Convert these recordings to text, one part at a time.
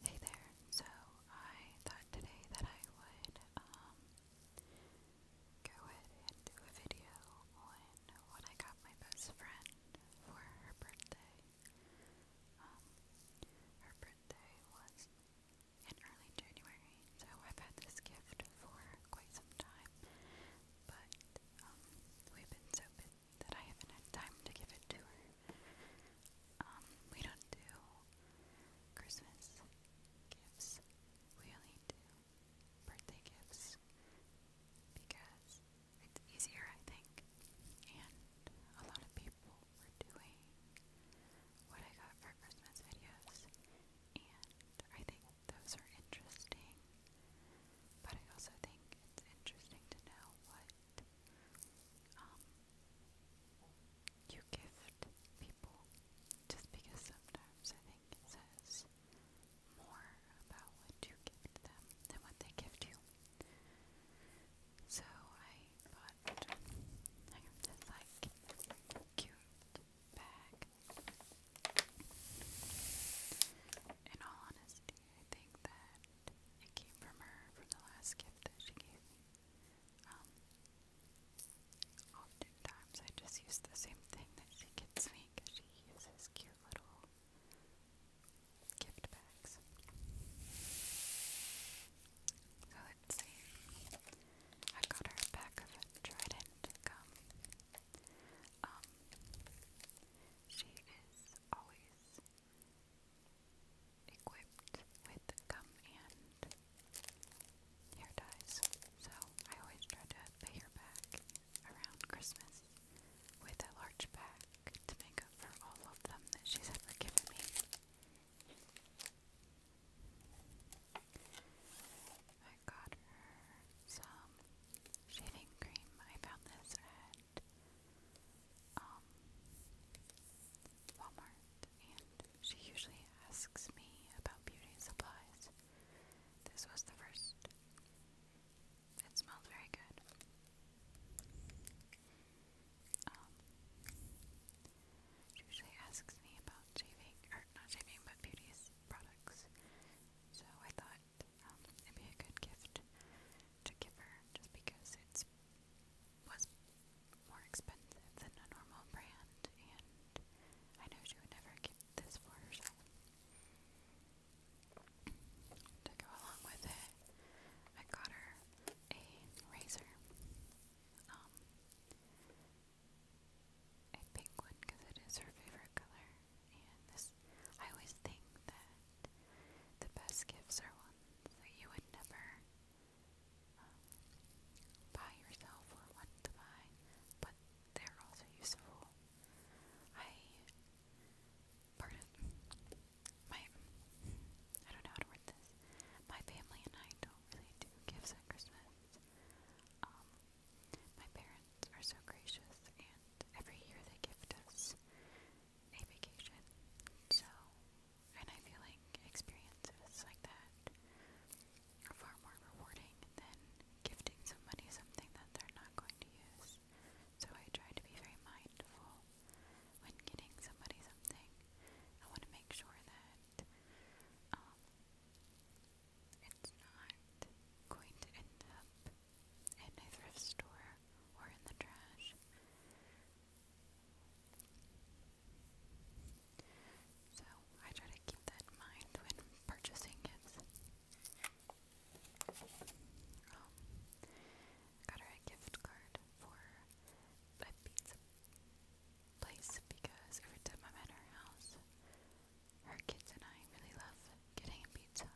Hey there. So I thought today that I would um, go ahead and do a video on what I got my best friend for her birthday. Um, her birthday was in early January, so I've had this gift for quite some time. But um, we've been so busy that I haven't had time to give it to her. Um, we don't do Christmas gifts. We only do birthday gifts because it's easier, I think. And a lot of people were doing what I got for Christmas videos, and I think those are interesting. But I also think it's interesting to know what um, you gift people just because sometimes I think it says more about what you gift them than what they gift you. So I bought this like cute bag. In all honesty, I think that it came from her, from the last gift that she gave me. Um, oftentimes I just use the same thing that she gets me because she uses cute little gift bags. let's see. I got her a pack of Trident gum. Um, she is always equipped with gum and hair ties. So I always try to pay her back around Christmas with a large pack to make up for all of them that she's ever given me. I got her some shaving cream. I found this at um, Walmart, and she usually asks me about beauty supplies. This was the first. It smelled very good. Um, she usually asks me about shaving, or not shaving, but beauty's products. So I thought um, it'd be a good gift to give her just because it was more expensive than a normal brand, and I know she would never keep this for herself. To go along with it, I got her a razor. Um, a pink because it is her favorite color, and this I always think that the best gifts are ones that you would never um, buy yourself or want to buy, but they're also useful. I, pardon, my, I don't know how to word this. My family and I don't really do gifts at Christmas. Um, my parents are so gracious, and every year they gift us a vacation. So, and I feel like experiences like that are far more rewarding than gifting somebody something that they're not going to use. So I try to be very mindful when getting somebody something. I want to make sure that um, it's not going to end up in a thrift store or in the trash. So I try to keep that in mind when purchasing gifts. Um, got her a gift card for a pizza place because every time I'm at her house, her kids and I really love getting a pizza.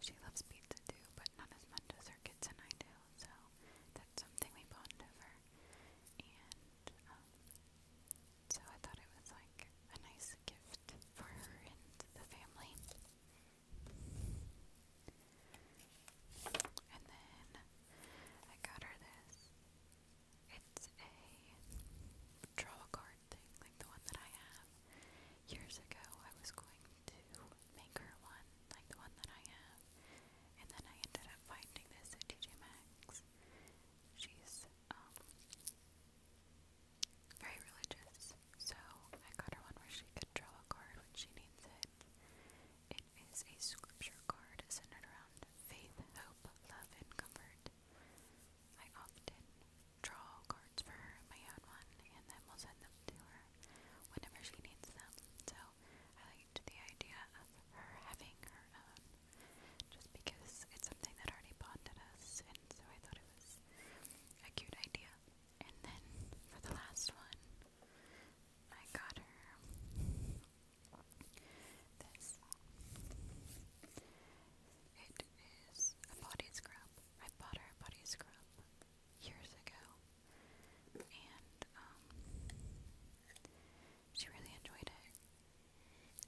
She loves pizza too, but not as much as her kids and I do, so that's something we bond over. And um, so I thought it was like a nice gift for her and the family. And then I got her this. It's a draw card yarn thing, like the one that I have. Years ago, I was going to make her one, like the one that I have, and then I ended up finding this at TJ Maxx. She's um, very religious, so I got her one where she could draw a card when she needs it. It is a scripture card centered around faith, hope, love, and comfort. I often draw cards for her, my own one, and then we'll send them to her whenever she needs them. So I liked the idea of her having her own, just because it's something that already bonded us, and so I thought it was a cute idea. And then for the last one, I got her this. It is a body scrub I bought our body scrub years ago, and um, she really enjoyed it.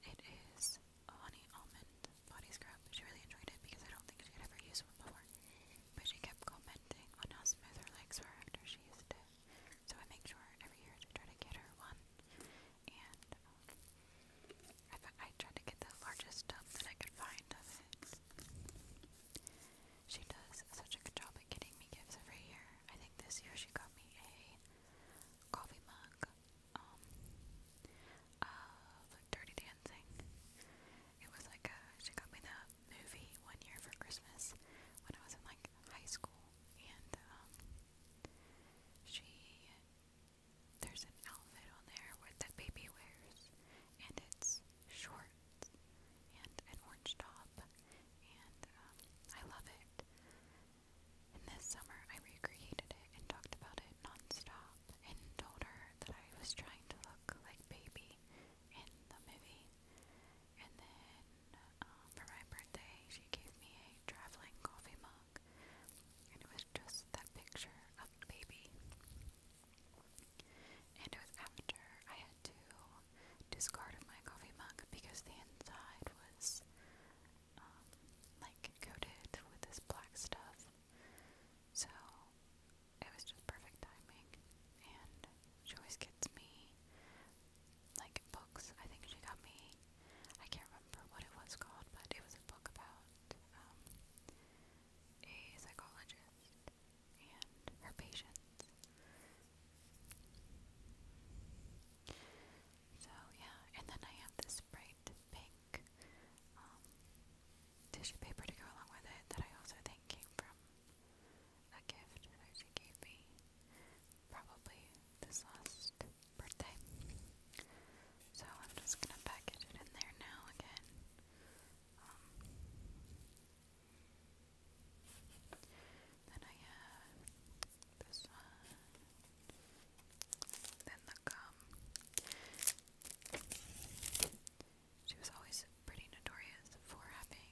It is a honey almond body scrub. She really enjoyed it because I don't think she had ever used one before, but she kept commenting on how smooth her legs were after she used it. So I make sure every year to try to get her one, and um, I, I tried to get the largest tub that I could find of it. She does such a good job at getting me gifts every year. I think this year she got me a coffee mug um, of Dirty Dancing. It was like a, she got me the movie one year for Christmas when I was in like high school, and um, she there's an outfit on there where that baby wears, and it's shorts and an orange top, and um, I love it. And this summer, I recreated it and talked about it nonstop, and told her that I was trying to look like baby in the movie. And then um, for my birthday, she gave me a traveling coffee mug it was just that picture of the baby. And it was after I had to discard my coffee mug because the inside was um, like coated with this black stuff. So it was just perfect timing. And she always gets me like books. I think she got me, I can't remember what it was called, but it was a book about um, a psychologist and her patients. So, yeah, and then I have this bright pink um, tissue paper to go along with it that I also think came from a gift that she gave me probably this last birthday. So I'm just gonna package it in there now again. Um, then I have this one. Then the gum. She was always pretty notorious for having.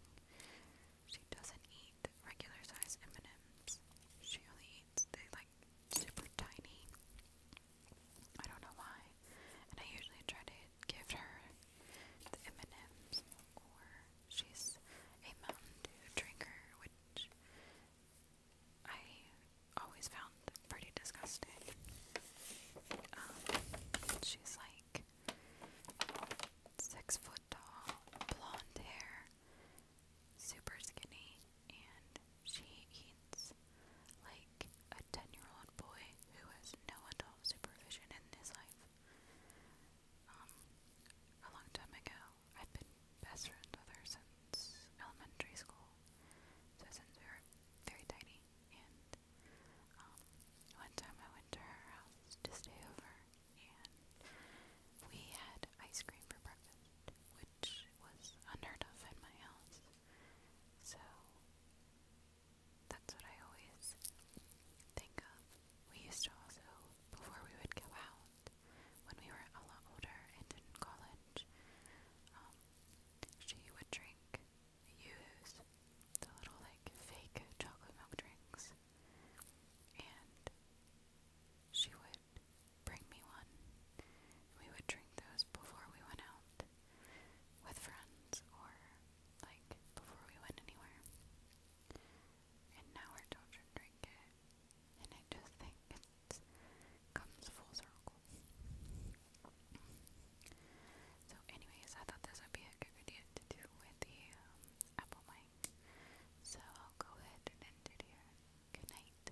She doesn't eat regular size M&Ms. She only eats they like super tiny I don't know why. And I usually try to give her the M&M's or she's a Mountain drinker, which I always found pretty disgusting. Um, she's like six foot tall, blonde hair, super skinny, and she eats like a 10 year old boy who has no adult supervision in his life. Um, a long time ago, I've been best friends with her since elementary school, since we were very tiny. And um, one time I went to her house to stay over, and we had ice cream for breakfast, which was unheard of in my house. So that's what I always think of. We used to also, before we would go out, when we were a lot older and in college, um, she would drink, use the little like fake chocolate milk drinks, and she would bring me one. We would drink those before we went out with friends or like before we went anywhere. And now our children drink it. And I just think it comes full circle. So anyways, I thought this would be a good idea to do with the um, Apple mic. So I'll go ahead and end it here. Good night.